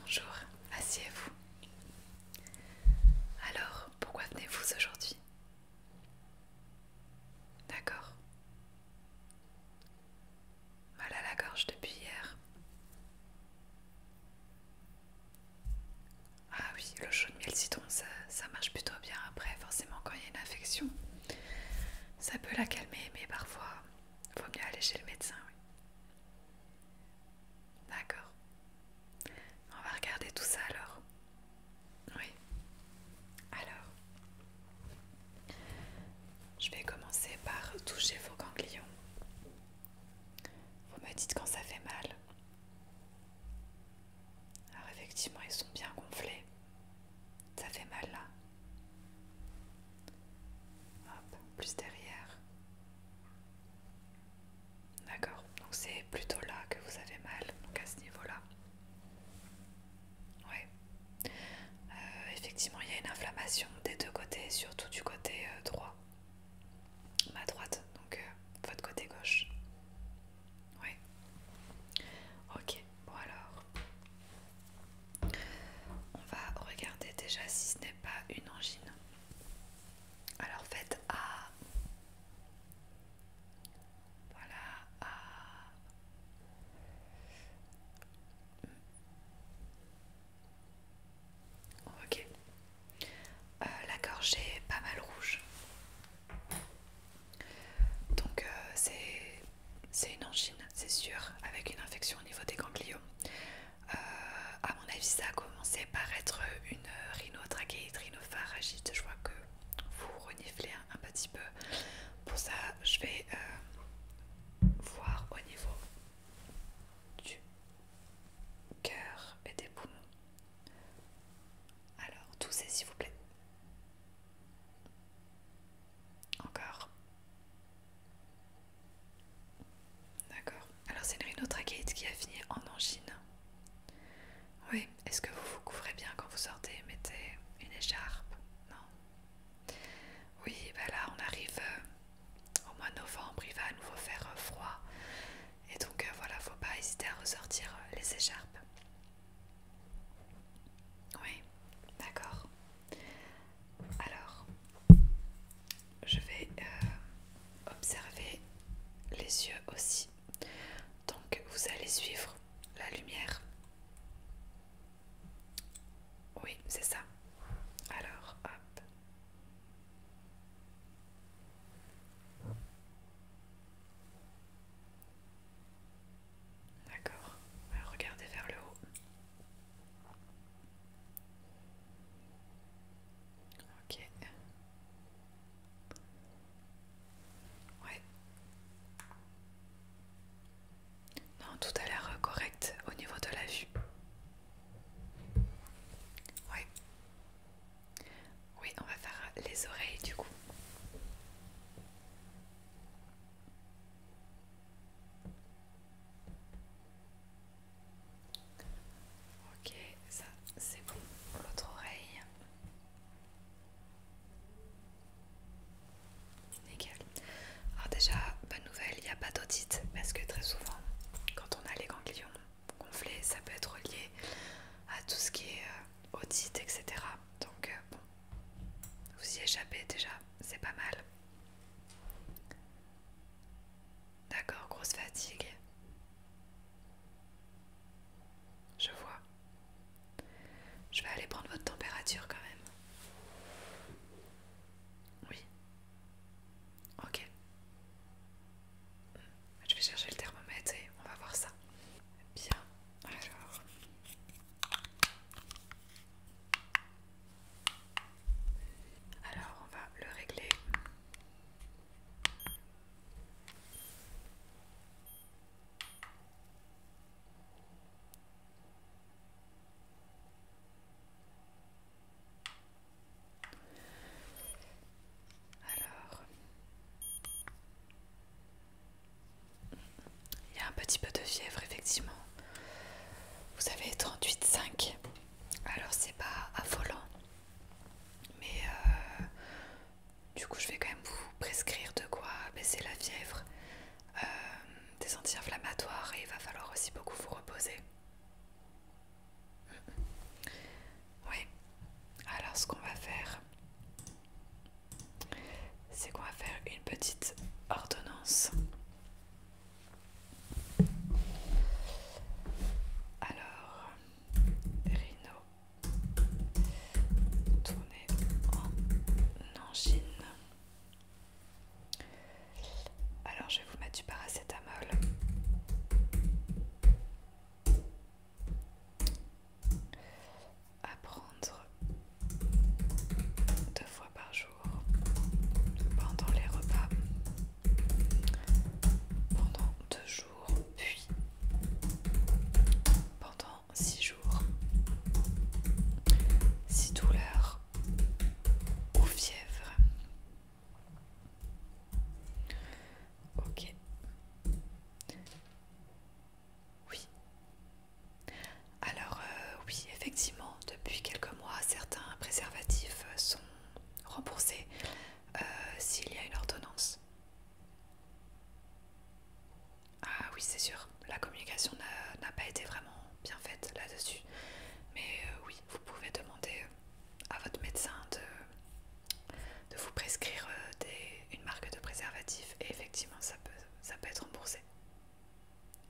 Bonjour, asseyez-vous. Alors, pourquoi venez-vous aujourd'hui D'accord. Mal à la gorge depuis hier. Ah oui, le chaud miel citron, ça, marche plutôt bien après, forcément quand il y a une infection. Ça peut la calmer, mais parfois, il vaut mieux aller chez le médecin. D'accord. On va regarder tout ça alors. Oui. Alors, je vais commencer par toucher vos ganglions. Vous me dites quand ça fait mal. Alors effectivement, ils sont bien gonflés. Ça fait mal là. Hop, plus derrière. D'accord, donc c'est plutôt là que vous avez mal, donc à ce niveau-là. Oui. Euh, effectivement, il y a une inflammation des deux côtés, surtout du côté euh, droit. Ma droite, donc euh, votre côté gauche. Oui. Ok, bon alors. On va regarder déjà si ce n'est pas une angine. Alors faites A. Voilà A. Ok. Euh, la gorge est pas mal rouge. Donc euh, c'est c'est une angine, c'est sûr, avec une infection au niveau des ganglions. A euh, à mon avis, ça a commencé par être une rhinotrachéite, rhinopharagite. Je vois que vous reniflez un, petit peu. Pour ça, je vais euh, voir au niveau du cœur et des poumons. Alors, toussez s'il vous plaît. Encore. D'accord. Alors c'est une rhinotrachéite qui a fini en angine. Oui, est-ce que vous vous couvrez bien quand vous sortez Mettez une écharpe Non Oui, bah là on arrive euh, au mois de novembre, il va nous faire euh, froid. Et donc il euh, voilà, faut pas hésiter à ressortir les écharpes. Oui, d'accord. Alors, je vais euh, observer les yeux aussi. Donc, vous allez suivre la lumière. Oui, c'est ça. Alors, hop. D'accord. Regardez vers le haut. Ok. Ouais. Non, tout a l'air euh, correct au niveau de la vue. Ouais. Oui, on va faire euh, les oreilles du coup. Ok, ça c'est bon. L'autre oreille. Nickel. Alors déjà, bonne nouvelle, il n'y a pas d'audit parce que très souvent, quand on a les ganglions gonflés, ça peut être lié à tout ce qui est euh, audit, etc. Donc euh, bon, vous y échappez déjà, c'est pas mal. D'accord, grosse fatigue. Je vois. Je vais aller prendre votre température quand même. Oui. Ok. Je vais chercher le thermomètre et on va voir ça. Bien. Alors. Alors on va le régler. Il y a un petit peu de fièvre, effectivement. Vous avez 38,5. Alors, c'est pas affolant. Mais euh, du coup, je vais quand même vous prescrire de quoi baisser la fièvre, euh, des anti-inflammatoires et il va falloir aussi beaucoup vous reposer. Oui. Alors, ce qu'on va faire, c'est qu'on va faire une petite ordonnance. Alors, Rhino, tournez en angine. Alors, je vais vous mettre du paracétamol à prendre deux fois par jour pendant les repas pendant deux jours puis pendant six jours si douleur ou fièvre ok oui. Alors euh, oui, effectivement, depuis quelques mois, certains préservatifs sont remboursés euh, s'il y a une ordonnance. Ah oui, c'est sûr, la communication n'a pas été vraiment bien faite là-dessus. Mais euh, oui, vous pouvez demander à votre médecin de, vous prescrire une marque de préservatif et effectivement, ça peut, ça peut être remboursé.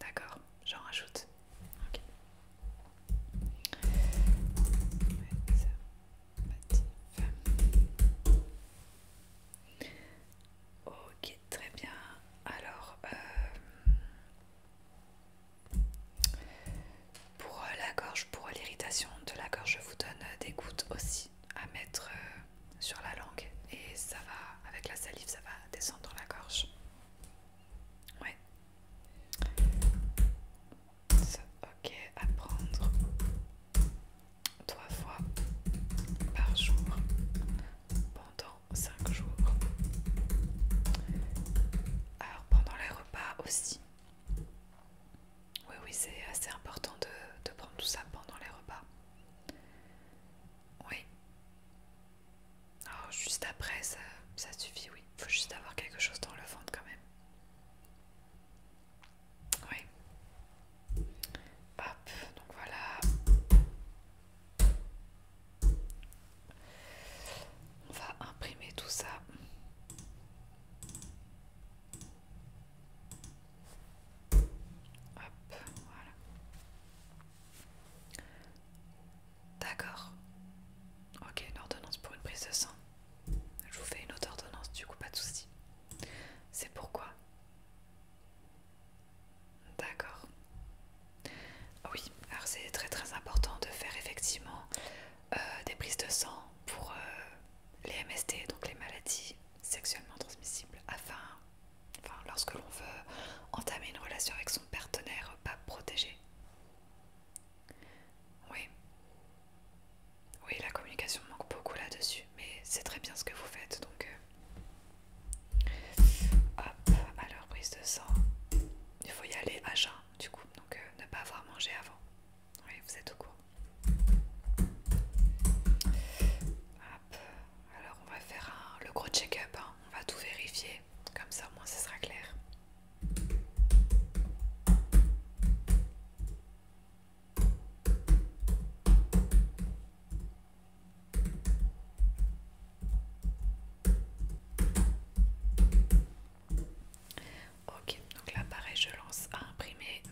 D'accord, j'en rajoute. Ok. très bien. Alors, euh, pour la gorge, pour l'irritation de la gorge, je vous donne des gouttes aussi à mettre euh, sur la langue et ça va, avec la salive, ça va descendre dans la gorge. Ouais. Ok, à prendre trois fois par jour pendant 5 jours. Alors pendant les repas aussi. Oui, oui, c'est assez important de prendre tout ça pendant les repas. Oui. Oh, juste après, ça, suffit, oui. Faut juste avoir quelque chose dans le ventre quand même. Oui. Hop, donc voilà. On va imprimer tout ça. D'accord. Ok, une ordonnance pour une prise de sang. Je vous fais une autre ordonnance, du coup, pas de souci. C'est pourquoi D'accord. Oui, alors c'est très très important de faire effectivement euh, des prises de sang pour euh, les MST, donc les maladies sexuellement transmissible, afin, lorsque l'on veut entamer une relation avec son partenaire pas protégé. Oui. Oui, la communication manque beaucoup là-dessus, mais c'est très bien ce que vous faites, donc... Euh, hop, alors prise de sang. Il faut y aller à jeun, du coup, donc euh, ne pas avoir mangé avant. Oui, vous êtes au courant. Alors on va faire le gros check-up, hein. on va tout vérifier, comme ça au moins ce sera clair. Ok, donc là pareil, je lance à imprimer.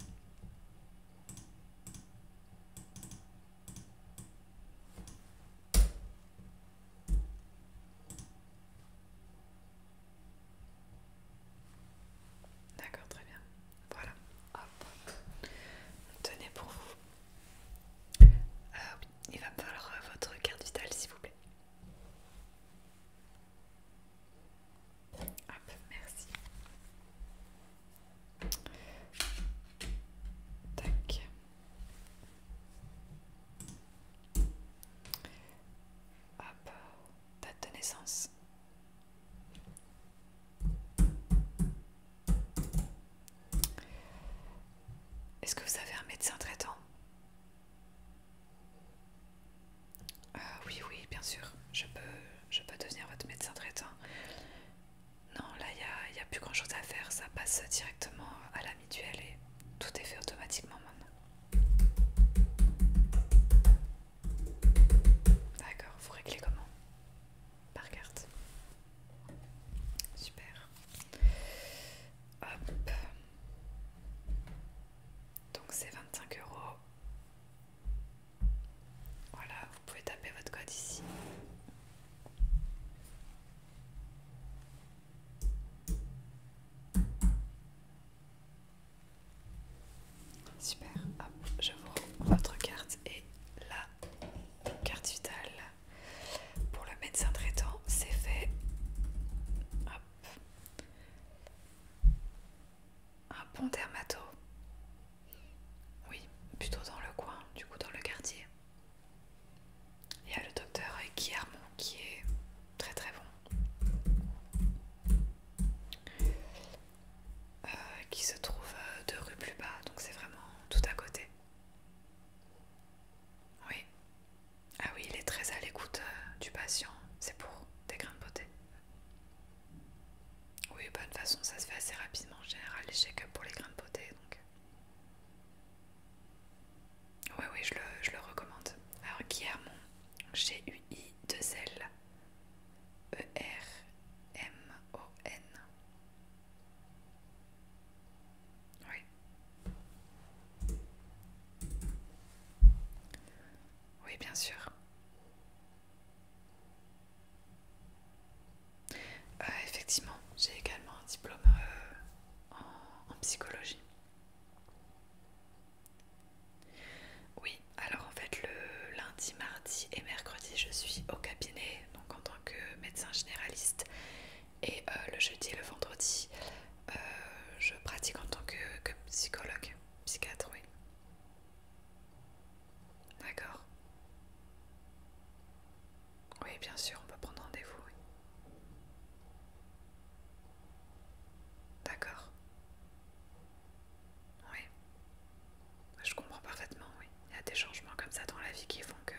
D'accord, très bien. Voilà. Hop. Tenez pour vous. Euh, il va me falloir euh, votre carte vitale, s'il vous plaît. Hop, merci. Tac. Hop, date de naissance. Est-ce que vous avez un médecin traitant ah oui, oui, bien sûr, je peux, je peux devenir votre médecin traitant. Non, là, il n'y a, a plus grand-chose à faire, ça passe directement à la mutuelle et tout est fait automatiquement maintenant. D'accord, vous réglez comment Par carte. Super. Hop. Donc c'est 25 euros. Voilà, vous pouvez taper votre code ici. Super, hop, je vous rends votre carte et la carte vitale pour le médecin traitant, c'est fait. Hop. Un bon dermatologue, Oui, plutôt dans le coin, du coup dans le quartier. Il y a le docteur Guillermo qui est très très bon. Euh, qui se trouve euh, deux rues plus bas, donc c'est vraiment tout à côté. Oui. Ah oui, il est très à l'écoute euh, du patient, c'est pour des grains de beauté. Oui, bonne bah, façon, ça se fait assez rapidement en général, les que pour les grains de beauté. Donc, oui, oui, je le, recommande. Alors, qui G-U-I de E-R-M-O-N. Oui. Oui, bien sûr. Euh, effectivement, j'ai également un diplôme euh, en, psychologie. Oui, alors en fait, le lundi, mardi et mercredi, je suis au cabinet, donc en tant que médecin généraliste. Et euh, le jeudi et le vendredi, je pratique en tant que psychologue, psychiatre, oui. D'accord. Oui, bien sûr, on peut prendre rendez-vous. Oui. D'accord. Oui. Je comprends parfaitement, oui. Il y a des changements comme ça dans la vie qui font que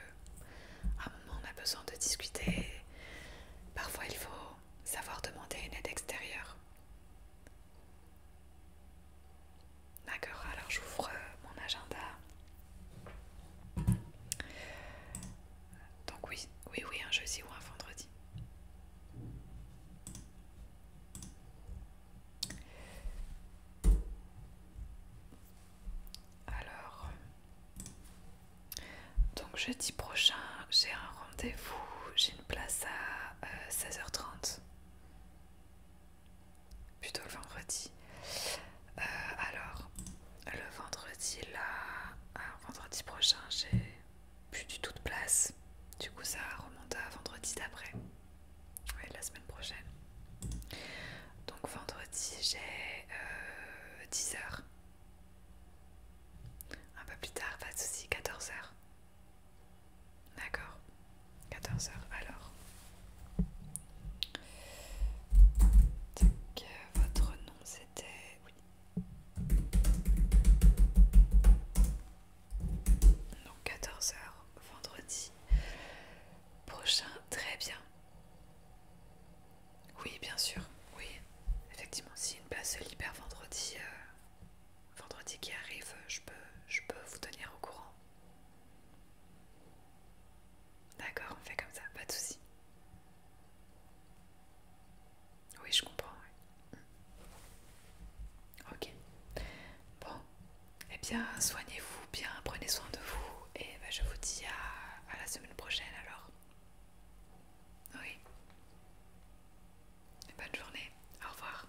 un moment on a besoin de discuter. Parfois il faut savoir demander une aide extérieure. D'accord, alors j'ouvre euh, mon agenda. Donc oui, oui, oui, un jeudi ou un vendredi. Alors, donc jeudi prochain, j'ai un rendez-vous, place à 16h30. Euh, Plutôt le vendredi. Euh, alors, le vendredi là, vendredi prochain, j'ai plus du tout de place. Du coup, ça remonte à vendredi d'après. la semaine prochaine. Donc, vendredi, j'ai 10h. Euh, un peu plus tard, pas de soucis, 14h. D'accord. 14h alors. votre nom c'était... Oui. Donc 14h vendredi prochain. Très bien. Oui, bien sûr. Oui, effectivement, si une place se libère vendredi, euh, vendredi qui arrive, je peux, je peux vous tenir au courant. D'accord, on fait comme ça, pas de soucis. Oui, je comprends. Mm. Ok. Bon, eh bien, soignez-vous bien, prenez soin de vous, et ben, je vous dis à la semaine prochaine alors. Oui. Bonne journée, au revoir.